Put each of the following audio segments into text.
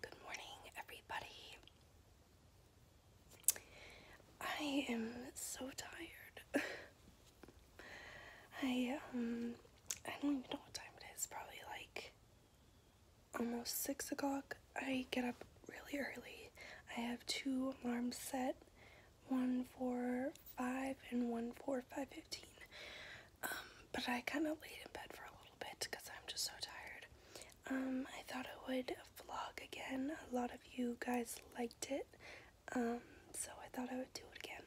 Good morning, everybody. I am so tired. I um I don't even know what time it is. Probably like almost six o'clock. I get up really early. I have two alarms set, one for five and one for five fifteen. Um, but I kind of laid in bed for a little bit because I'm just so tired. Um, I thought I would vlog again. A lot of you guys liked it, um, so I thought I would do it again.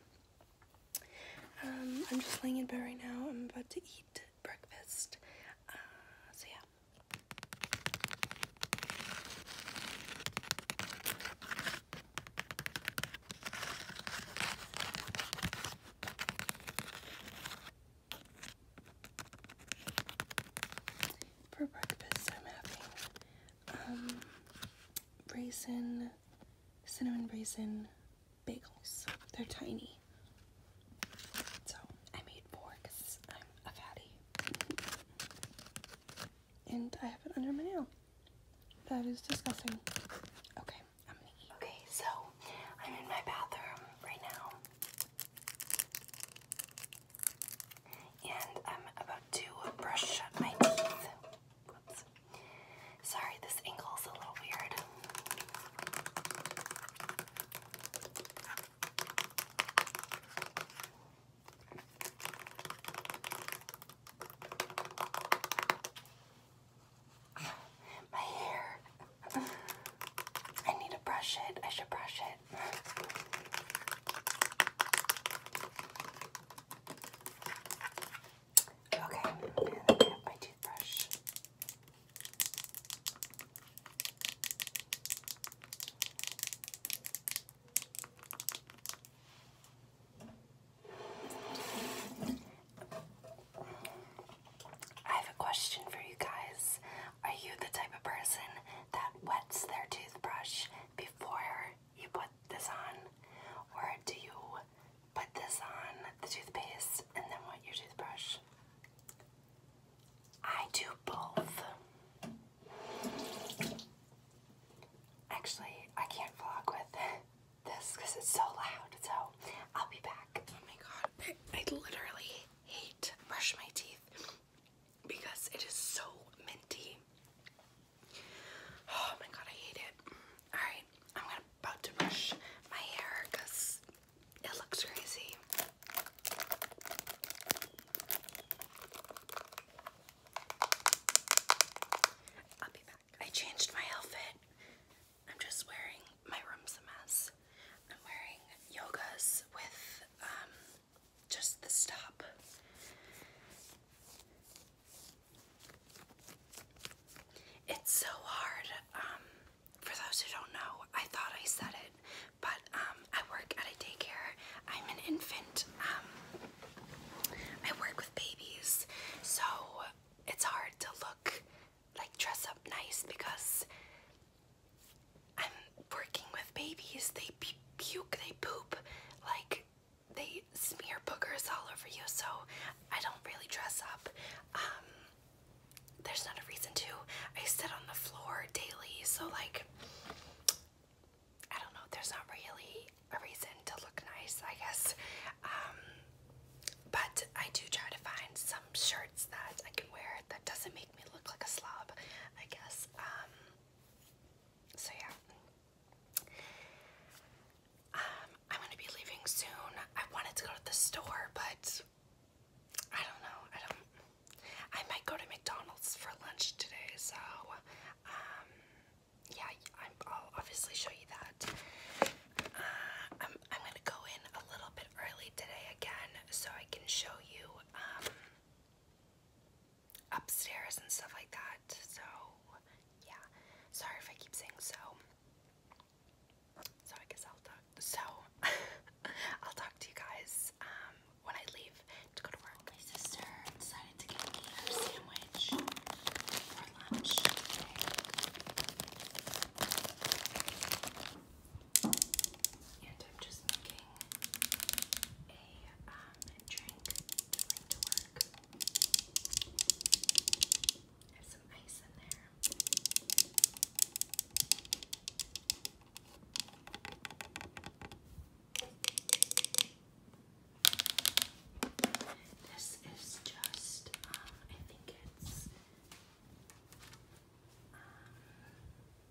Um, I'm just laying in bed right now. I'm about to eat breakfast. Uh, so yeah. For breakfast, I'm having um, raisin, cinnamon raisin bagels. They're tiny. So I made four because I'm a fatty. And I have it under my nail. That is disgusting. Okay. I'm Okay, so I'm in my bathroom right now. And I'm about to brush my teeth. Sorry, this angle's a little weird. My hair. I need to brush it. I should brush it. Okay, my toothbrush. I have a question for you guys. Are you the type of person that wets their toothbrush before you put this on? Or do you put this on the toothpaste and then wet your toothbrush? I do both. Actually, I can't vlog with this because it's so loud. So I'll be back. Oh my god, I, I literally hate brush my teeth because it is so minty. Oh my god, I hate it. Alright, I'm about to brush my hair because it looks crazy. I'll be back. I changed my outfit. I'm just wearing my room's a mess. I'm wearing yogas with um, just the stop. It's so hard. Um, for those who don't know, I thought I said it, but um, I work at a daycare. I'm an infant. I work with babies, so it's hard to look like dress up nice because I'm working with babies. They puke, they poop, like they smear boogers all over you. So I don't really dress up. Um, there's not a reason to. I sit on the floor daily, so like I don't know. There's not really a reason to look nice, I guess. Um, but I do try to find some shirts that I can wear that doesn't make me look like a slob, I guess. Um, so yeah. I'm um, gonna be leaving soon. I wanted to go to the store, but I don't know. I don't. I might go to McDonald's for lunch today, so um, yeah, I'll obviously show you that. Uh, I'm, I'm gonna go in a little bit early today again so I can show you um, upstairs and stuff like that. So, yeah. Sorry if I keep saying so. So I guess I'll talk. So I'll talk to you guys um, when I leave to go to work. My sister decided to get me her sandwich lunch. And I'm just making a um, drink to work. There's some ice in there. This is just, um, I think blankets.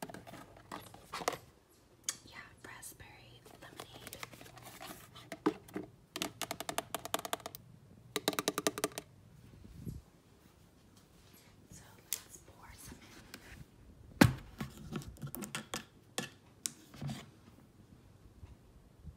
Um, yeah, raspberry lemonade. So let's pour some in.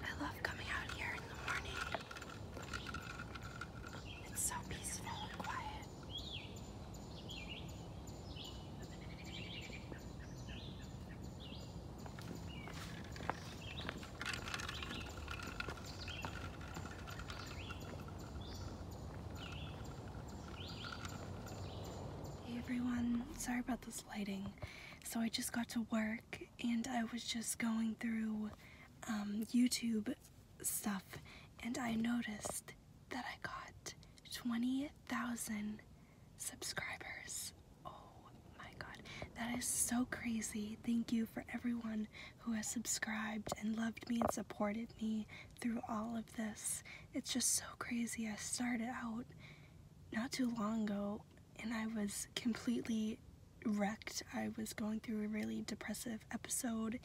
I love coming out here in the morning. It's so peaceful and quiet. Hey everyone, sorry about the lighting. So I just got to work and I was just going through um, YouTube stuff and I noticed that I got 20,000 subscribers. Oh my god, that is so crazy. Thank you for everyone who has subscribed and loved me and supported me through all of this. It's just so crazy. I started out not too long ago and I was completely wrecked. I was going through a really depressive episode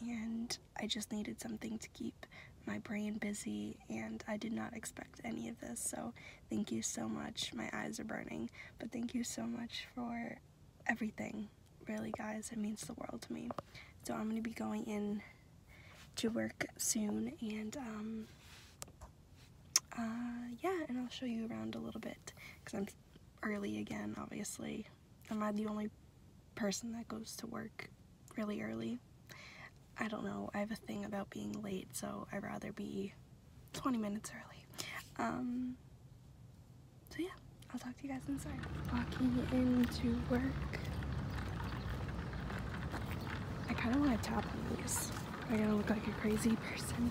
and I just needed something to keep my brain busy and I did not expect any of this so thank you so much my eyes are burning but thank you so much for everything really guys it means the world to me so I'm gonna be going in to work soon and um, uh, yeah and I'll show you around a little bit because I'm early again obviously am I the only person that goes to work really early I don't know I have a thing about being late so I'd rather be 20 minutes early um, so yeah I'll talk to you guys inside walking into work I kind of want to tap these. I gotta look like a crazy person.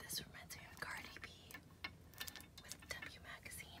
This reminds me of Cardi B with W Magazine.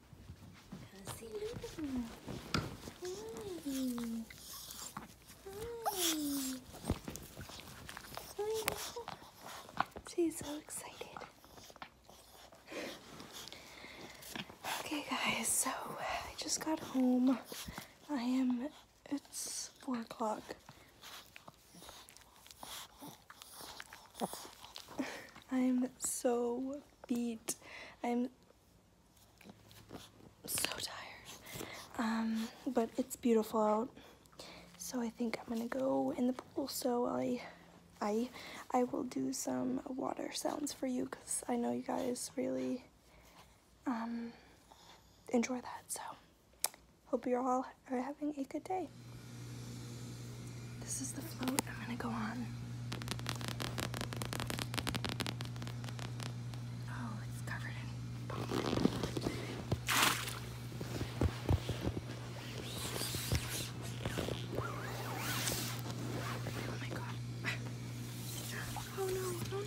She's so excited. Okay, guys, so I just got home. I am, it's 4 o'clock. I'm so beat. I'm so tired. Um, but it's beautiful out. So I think I'm gonna go in the pool. So I, I, I will do some water sounds for you because I know you guys really um, enjoy that. So hope you all are having a good day okay? This is the float I'm gonna go on. Oh, it's covered in Oh my god. Oh no, oh no.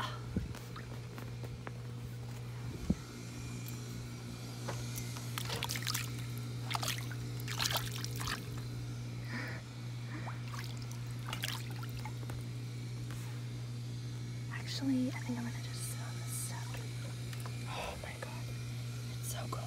Oh. Actually, I think I'm gonna just sit on this step. Oh my god, it's so cold.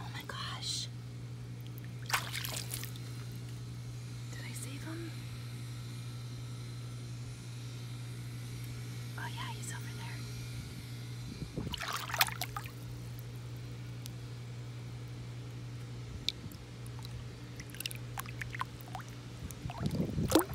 Oh my gosh. Did I save him? Oh yeah, he's over there.